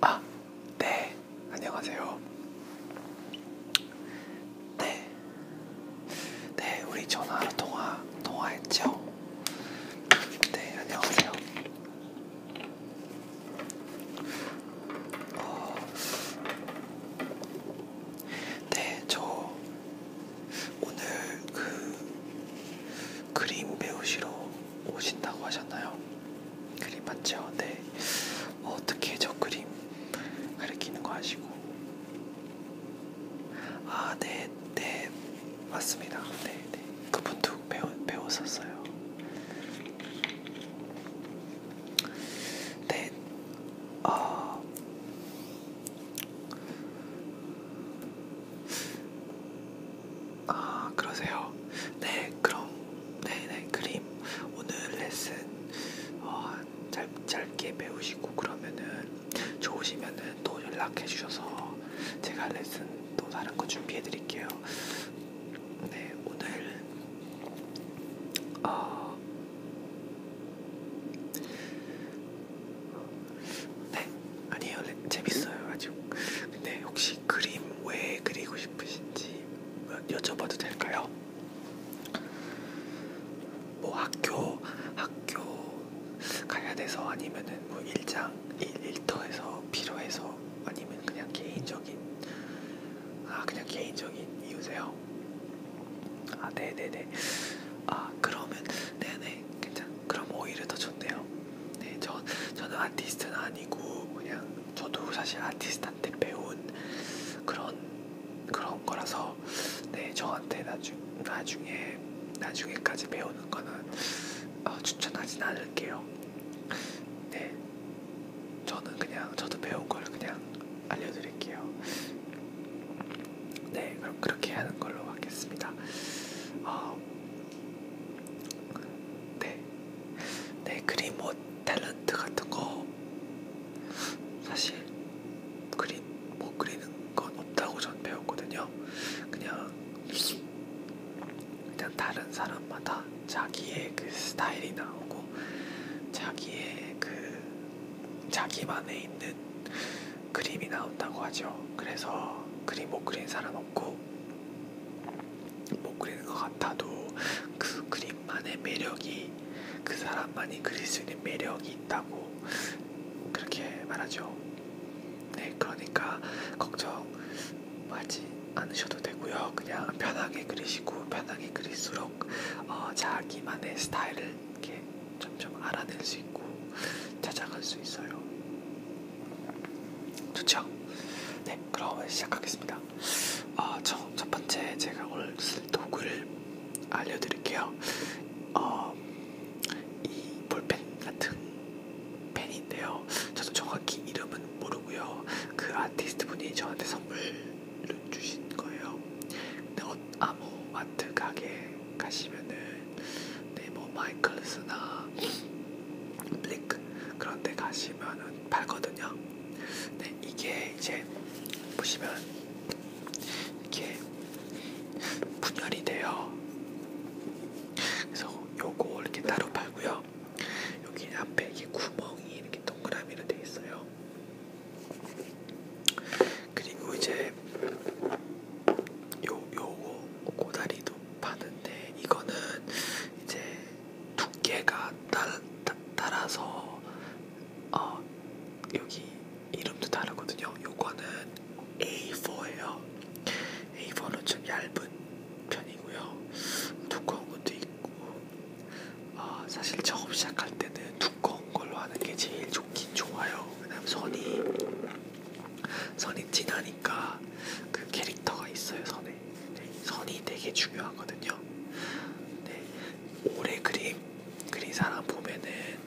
아, 네, 안녕하세요. 네, 네, 우리 전화로 통화 통화했죠? 네, 안녕하세요. 어, 네, 저 오늘 그 그림 배우시러 오신다고 하셨나요? 그림 맞죠? 네. 뭐 어떻게 저 그림 가리키는 거 아시고? 아, 네, 네. 맞습니다. 네, 네. 그분도 배우, 배웠었어요. 네, 아. 어... 아 그러세요. 네 그럼 네네 네, 그림 오늘 레슨 어, 짧, 짧게 배우시고 그러면은 좋으시면은 또 연락해 주셔서 제가 레슨 또 다른 거 준비해 드릴게요. 네 오늘 어, 네, 아니에요. 네, 재밌어요 아주. 근데 혹시 그림 왜 그리고 싶으신지 여쭤봐도 될까요? 뭐 학교 학교 가야 돼서 아니면은 뭐 일장 일 일터에서 필요해서 아니면 그냥 개인적인 아 그냥 개인적인 이유세요? 아 네네네 아 그러면 네네 괜찮 그럼 오히려 더 좋네요 네, 저, 저는 아티스트는 아니고 그냥 저도 사실 아티스트한테 배운 그런 그런 거라서 네 저한테 나중 나중에 나중에까지 배우는 거는 어, 추천하진 않을게요. 네, 저는 그냥 저도 배운 걸 그냥 알려드릴게요. 네, 그럼 그렇게 하는 걸로 하겠습니다. 어, 네. 네, 그림 뭐 탤런트 같은 거 사실 그림 뭐 그리는 건 없다고 전 배웠거든요. 그냥 일단 다른 사람마다 자기의 그 스타일이 나오고 자기의 그 자기만의 있는 그림이 나온다고 하죠. 그래서 그림 못 그린 사람 없고 못 그리는 것 같아도 그 그림만의 매력이 그 사람만이 그릴 수 있는 매력이 있다고 그렇게 말하죠. 네, 그러니까 걱정하지 않으셔도 되고요. 그냥 편하게 그리시고 편하게 그릴수록 어, 자기만의 스타일을 이렇게 점점 알아낼 수 있고 찾아갈 수 있어요. 좋죠? 네, 그럼 시작하겠습니다. 어, 아, 첫, 첫 번째 제가 오늘 쓸 도구를 알려드릴게요. 어, 이 볼펜 같은 펜인데요. 저도 정확히 이름은 모르고요. 그 아티스트 분이 저한테 선물을 주신 거예요. 근데 어, 아무 아트 가게 가시면은 네, 뭐 마이클스나 블릭 그런 데 가시면은 팔거든요. 네, 이게 이제 보시면 이렇게 분열이 돼요. 그래서 요거 이렇게 따로 팔고요. 여기 앞에 이게 구멍이 이렇게 동그라미로 돼 있어요. 그리고 이제 요 요거 고다리도 쭉 파는데 이거는 이제 두께가 따라, 따, 따라서 어, 여기 이름도 다르거든요. 요거는 A4예요. A4는 좀 얇은 편이고요. 두꺼운 것도 있고 어, 사실 처음 시작할 때는 두꺼운 걸로 하는 게 제일 좋긴 좋아요. 왜냐면 선이 선이 티나니까 그 캐릭터가 있어요 선에 네, 선이 되게 중요하거든요 네, 올해 그림 그린 사람 보면은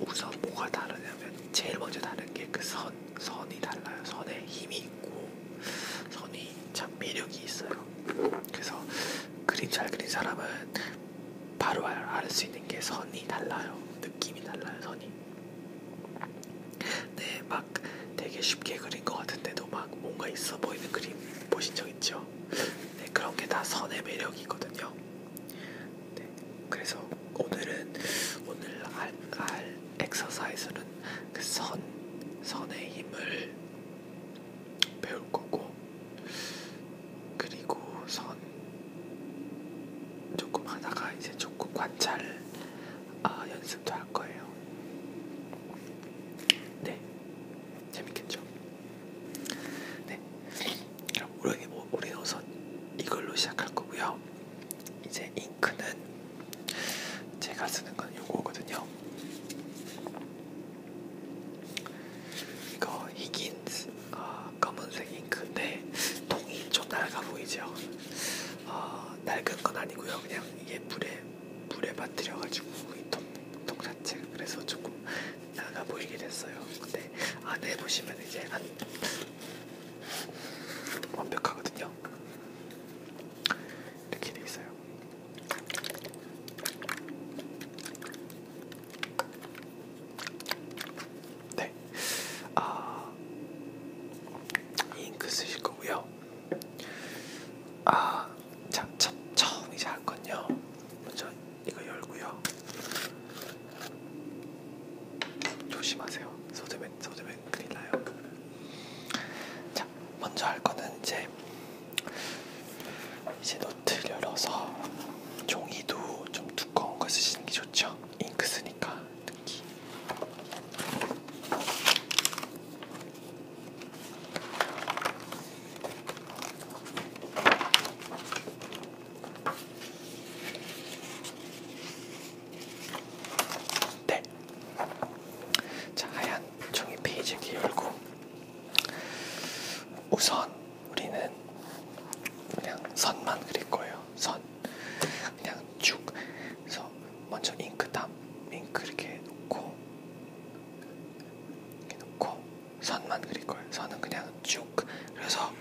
우선 뭐가 다르냐면 제일 먼저 다른 게 그 선, 선이 달라요 선에 힘이 있고 선이 참 매력이 있어요 그래서 그림 잘 그린 사람은 바로 알 수 있는 게 선이 달라요 느낌이 달라요 선이 네, 막 되게 쉽게 그린 것 같은데도 막 뭔가 있어 보이는 그림 보신 적 있죠? 네, 그런 게 다 선의 매력이거든요. 네, 그래서 오늘은 오늘 할, 할 엑서사이즈는 그 선, 선의 힘을 배울 거고, 그리고 선 조금 하다가 이제 조금 관찰 아, 연습도 할 거예요. 네, 재밌겠죠? 네, 그럼 올해 올해 우선 이걸로 시작할 거고요. 이제 잉크는 제가 쓰는 건 요거거든요. 이거 히긴스 어, 아, 검은색 잉크인데 통이 좀 낡아 보이죠. 어, 낡은 건 아니고요. 그냥 이게 물에 물에 빠뜨려가지고 이통통 자체 그래서 조금 낡아 보이게 됐어요. 근데 안에 보시면 이제 안 완벽하거든요. 이렇게 돼 있어요. 네, 아 잉크 쓰실 거고요. 아, 자, 첫, 처음 이제 할 건요. 먼저 이거 열고요. 조심하세요. 소드맨, 소드맨 큰일 나요. 자, 먼저 할 거는 이제 이제 노트를 열어서 종이도 좀 두꺼운 걸 쓰시는 게 좋죠. 잉크 쓰 많으니까 특히 네. 자, 하얀 종이 페이지를 열고 우선 우리는 그냥 선만 그릴 거예요. 선 그냥 쭉. 그래서 먼저 잉크 담 잉크 이렇게 놓고 이렇게 놓고 선만 그릴 거예요. 선은 그냥 쭉. 그래서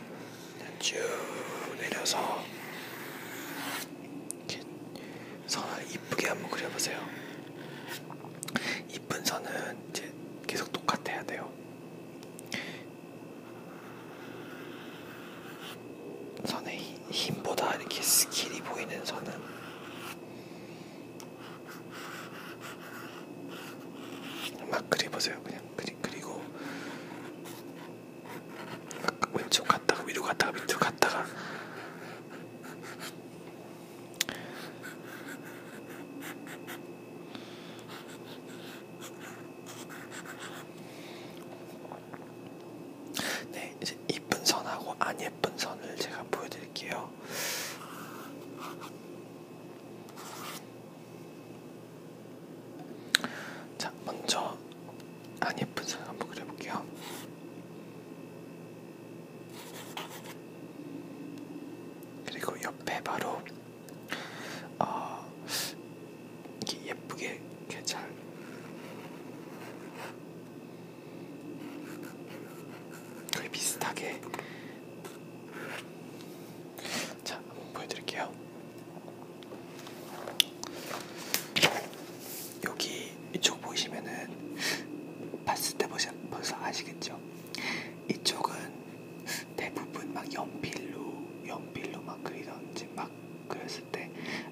그냥 쭉 내려서 이렇게 선을 이쁘게 한번 그려보세요. 이쁜 선은 이제 계속 똑같아야 돼요. 선의 힘보다 이렇게 스킬이 보이는 선은 막 그려보세요 그냥 그리, 그리고 왼쪽 갔다가 위로 갔다가 밑으로 갔다가 네, 이제 이쁜 선하고 안 예쁜 선을 제가 보여드릴게요. 자, 먼저 안 예쁜 선 한번 그려볼게요. 그리고 옆에 바로 아 이렇게 예쁘게 이렇게 잘 거의 비슷하게 자 한번 보여드릴게요. 여기 이쪽 보시면은 봤을 때 벌써, 벌써 아시겠죠? 이쪽은 대부분 막 연필로 연필로 막 그리던지 막 그렸을 때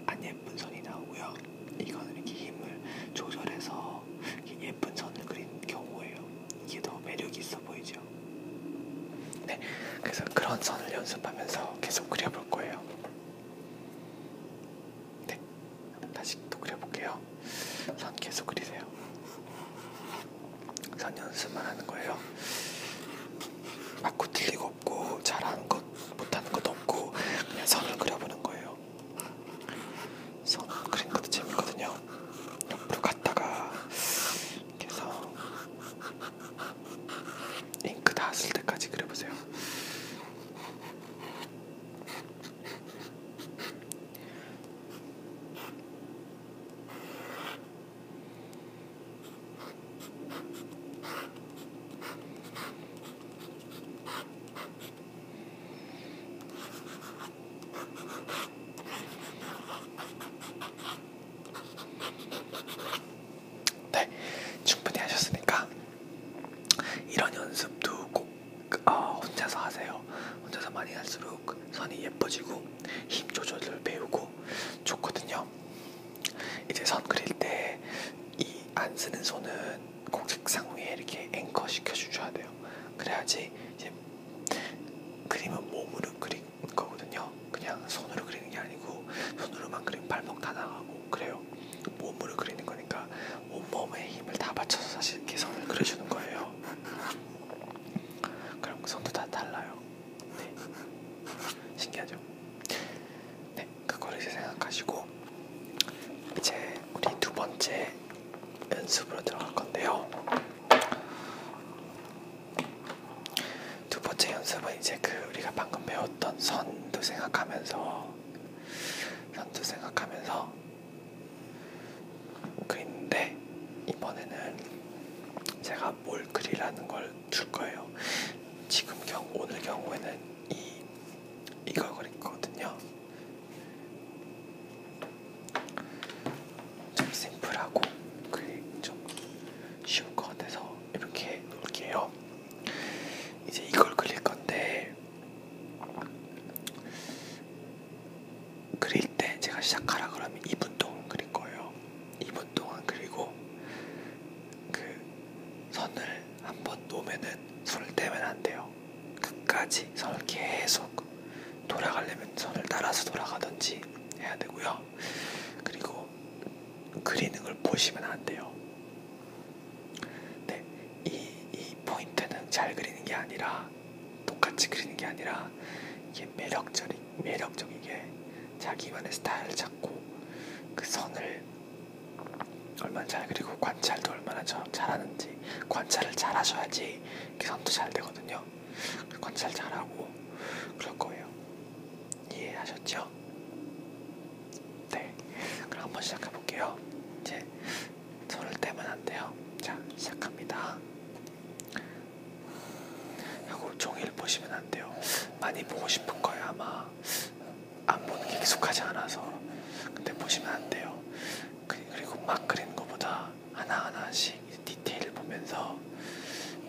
안 예쁜 선이 나오고요. 이거는 이렇게 힘을 조절해서 이렇게 예쁜 선을 그린 경우예요. 이게 더 매력이 있어 보이죠. 네, 그래서 그런 선을 연습하면서 계속 그려볼 거예요. 네, 다시 또 그려볼게요. 선 계속 그리세요. 선 연습만 하는 거예요. 맞고 틀리고 없고 잘하는 것 못하는 것도 없고 그냥 선을 그려보는 거예요. 선 그리는 것도 재밌거든요. 옆으로 갔다가 계속 잉크 다 쓸 때까지 그려보세요. 네, 충분히 하셨으니까 이런 연습도 꼭 어, 혼자서 하세요. 혼자서 많이 할수록 갈수록 선이 예뻐지고 힘 조절을 배우고 좋거든요. 이제 선 그릴 때 이 안 쓰는 손은 공책상 위에 이렇게 앵커 시켜주셔야 돼요. 그래야지 이제 그림은 몸으로 그린 거거든요. 그냥 손으로 그리는 게 아니고 손으로만 그리면 발목 다 나가고 그래요. 몸으로 그리는 거니까 온몸에 힘을 다 받쳐서 사실 이렇게 선을 그려주는 거예요. 그럼 손도 다 달라요. 네. 신기하죠? 네, 그거를 이제 생각하시고 이제 우리 두 번째 연습으로 들어갈 건데요. 두 번째 연습은 이제 그 우리가 방금 배웠던 선도 생각하면서 선도 생각하면서 그인데 이번에는 제가 제가 뭘 그리라는 걸 줄 거예요. 지금 경 오늘 경우에는 이 이걸 그릴 거거든요. 좀 심플하고 그좀 쉬울 것 같아서 이렇게 놓을게요. 이제 이걸 그릴 건데 그릴 때 제가 시작하라 그러면 2분 동안 그릴 거예요. 2분 동안 그리고 그 선을 한번 놓으면은 손을 떼면 안 돼요. 끝까지 선을 계속 돌아가려면 선을 따라서 돌아가든지 해야 되고요. 그리고 그리는 걸 보시면 안 돼요. 네, 이, 이 포인트는 잘 그리는 게 아니라 똑같이 그리는 게 아니라 이게 매력적인 매력적이게 자기만의 스타일을 찾고 그 선을 얼마나 잘 그리고 관찰도 얼마나 잘하는지 관찰을 잘 하셔야지 그 선도 잘 되거든요. 그 관찰 잘하고 그럴 거예요. 이해하셨죠? 네. 그럼 한번 시작해 볼게요. 이제 손을 떼면 안 돼요. 자, 시작합니다. 하고 종일 보시면 안 돼요. 많이 보고 싶은 거예요 아마 안 보는 게 익숙하지 않아서 근데 보시면 안 돼요. 그, 그리고 막 그리는 것보다 하나 하나씩 디테일을 보면서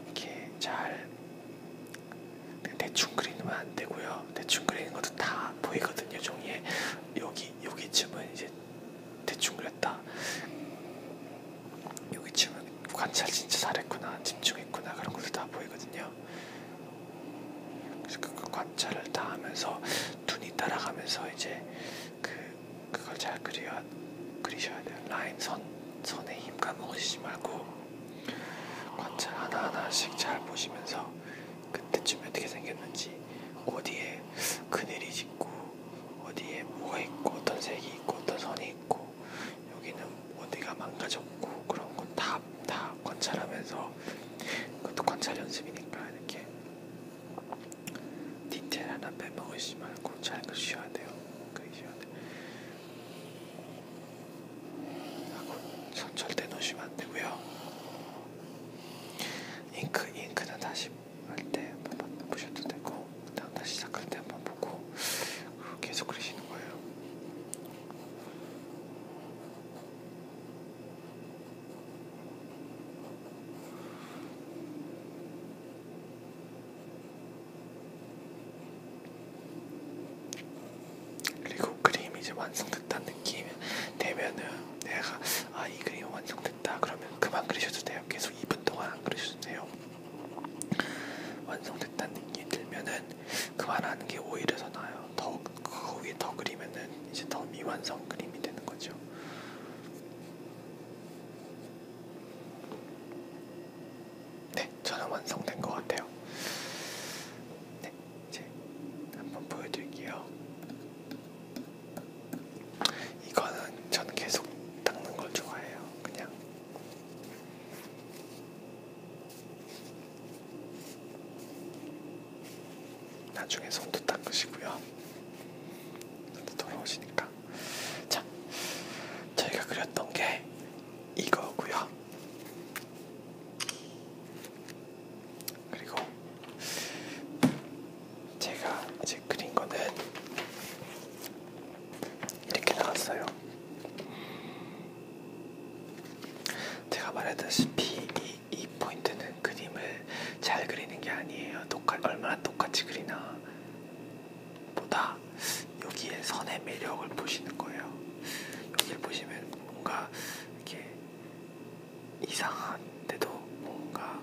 이렇게 잘 대충 그리면 안 되고요. 대충 그리는 것도 다 보이거든요 종이에 여기 여기쯤은 이제 대충 그렸다. 여기 치면 관찰 진짜 잘했구나, 집중했구나 그런 것도 다 보이거든요. 그래서 그, 그 관찰을 다 하면서 눈이 따라가면서 이제 그 그걸 잘 그려 그리셔야 돼요. 라인 선 선에 힘 까먹으시지 말고 관찰 하나 하나씩 잘 보시면서 그때쯤에 어떻게 생겼는지 어디에 그늘이 짙고 어디에 뭐가 있고 어떤 색이 있고 어떤 선이 있고 여기는 어디가 망가졌고 그런 건다다 다 관찰하면서 그것도 관찰 연습이니까 이렇게 디테일 하나 빼먹으시지 말고 잘 그리셔야 돼요. 그리셔야 돼. 하고 절대 놓으시면 안 되고요. 잉크 잉크는 다시 할때 한번 보셔도 되고 그다음 다시 시작할 때 한번 보고 계속 그리시는 거예요. 그리고 그림이 이제 완성됐다는 느낌이 되면은 내가 아이 그림 완성됐다 그러면 그만 그리셔도 돼요. 돼요. 계속 2분 동안 안 그러셔도돼요. 완성됐다는 느낌이 들면은 그만하는 게 오히려 더 나아요. 더 그거 위에 더 그리면은 이제 더 미완성 그림이 되는 거죠. 네, 저는 완성된 것 같아요. 네, 이제 한번 보여드릴게요. 이거는 저는 계속 닦는 걸 좋아해요. 그냥 나중에 손도 닦으시고요. 손도 더러우시니까. 자, 저희가 그렸던 게 이거고요. 그리고 제가 이제 그린 거는 이렇게 나왔어요. 제가 말했다시피 이, 이 포인트는 그림을 잘 그리는 게 아니에요. 똑같, 얼마나 똑같이 그리나 보다 여기에 선의 매력을 보시는 거예요. 여기를 보시면 뭔가 이렇게 이상한데도 뭔가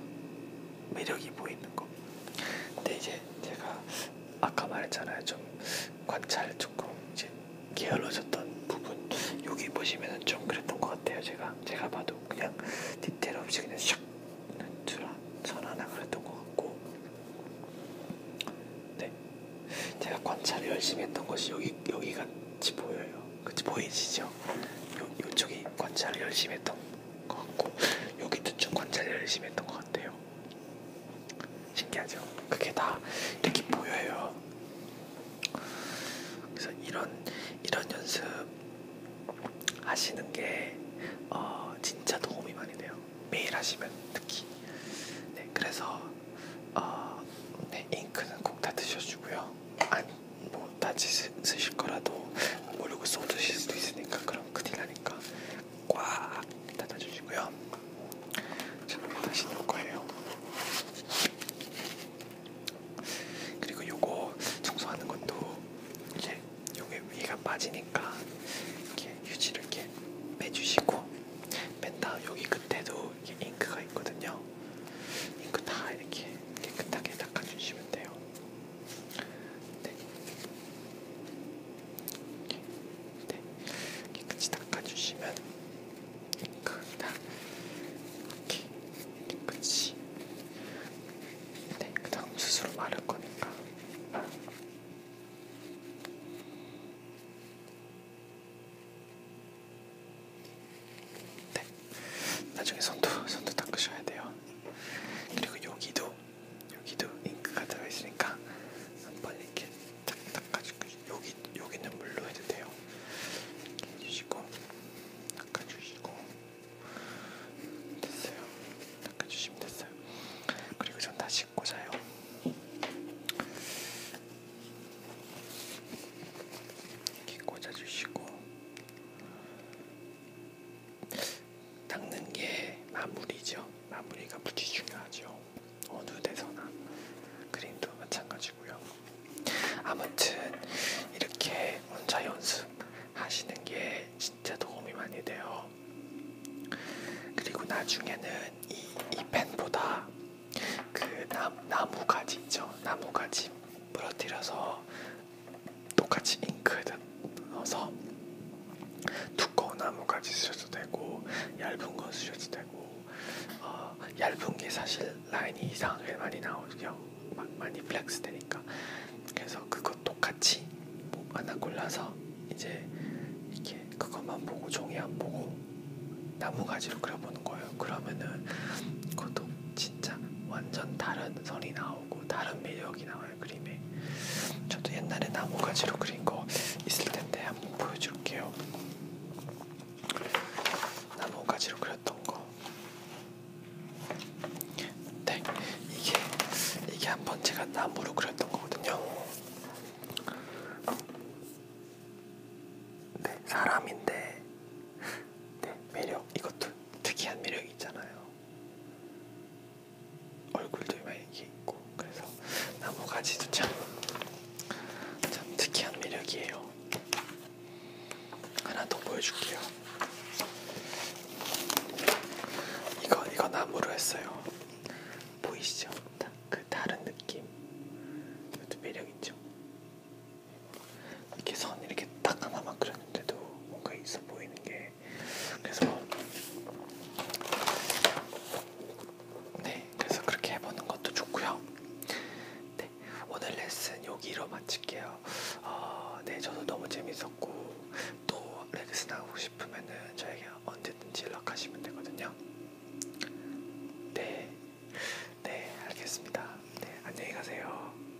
매력이 보이는 거. 근데 이제 제가 아까 말했잖아요. 좀 관찰 조금 이제 게을러졌던 부분. 여기 보시면은 좀 그랬던 것 같아요. 제가 제가 봐도 그냥 디테일 없이 그냥 샥 눈주라 선 하나 그랬던 것 같고. 네, 제가 관찰을 열심히 했던 것이 여기 여기 같이 보여요. 그치 보이시죠? 요 요쪽이 관찰을 열심히 했던. 것 같고 여기 두층 관찰 열심히 했던 것 같아요. 신기하죠? 그게 다 이렇게 보여요. 그래서 이런 이런 연습 하시는 게 어, 진짜 도움이 많이 돼요. 매일 하시면 특히. 네, 그래서 어, 네, 잉크는 꼭 다 드셔주고요. 안, 뭐 다치실 거라도 모르고 쏟으실 수도 있으니까 그럼 큰일 나니까 꽉 닫아주시고요. 저는 다시 넣을 거예요. 그리고 요거 청소하는 것도 이제 요게 위가 빠지니까 이렇게 휴지를 이렇게 빼주시고 뺀 다음 여기 끝에도 이렇게 잉크가 있거든요. 잉크 다 이렇게 깨끗하게 닦아주시면 돼요. 네. 네. 깨끗이 닦아주시면 그다 이렇게 깨끗이 네, 그 다음 스스로 마를 거니까 네, 나중에 손도, 손도 닦으셔야 돼요. 그리고 여기도 여기도 잉크가 들어있으니까 한번 이렇게 딱 닦아주고 여기 여기는 물로 해도 돼요. 이렇게 해주시고 닦아주시고 됐어요. 닦아주시면 됐어요. 그리고 전다 씻고 자요. 이렇게 꽂아주시고 닦는 게 마무리죠. 마무리가 무지 중요하죠. 어느 데서나 그림도 마찬가지고요. 아무튼 이렇게 혼자 연습하시는 게 진짜 도움이 많이 돼요. 그리고 나중에는 이, 이 펜보다 그 나, 나무 가지 있죠. 나무 가지 부러뜨려서 똑같이 잉크에다 넣어서 두꺼운 나무까지 쓰셔도 되고 얇은 건 쓰셔도 되고 어, 얇은 게 사실 라인이 이상하게 많이 나오죠 많이 플렉스 되니까 그래서 그거 똑같이 뭐 하나 골라서 이제 이렇게 그것만 보고 종이 안 보고 나무 가지로 그려보는 거예요. 그러면은 그것도 진짜 완전 다른 선이 나오고 다른 매력이 나와요 그림에. 저도 옛날에 나무가지로 그린 거 있을 텐데 한번 보여줄게요. 나무가지로 그렸던 거. 네, 이게 이게 한번 제가 나무로 그렸던 거거든요. 네, 사람인데, 네 매력 이것도 특이한 매력이 있잖아요. 얼굴도 이렇게 있고 그래서 나무가지도 참, 참 특이한 매력이에요. 하나 더 보여줄게요. 이거 이거 나무로 했어요. 보이시죠? 그 다른 느낌. 이것도 매력 있죠. 이렇게 선 이렇게 딱 하나만 그렸는데도 뭔가 있어 보이는 게 그래서 네 그래서 그렇게 해보는 것도 좋고요. 네 오늘 레슨 여기로 마칠게요. 어, 네 저도 너무 재밌었고 또 레슨 하고 싶으면은 저에게 언제든지 연락하시면 되거든요. 네, 네 알겠습니다. 네 안녕히 가세요.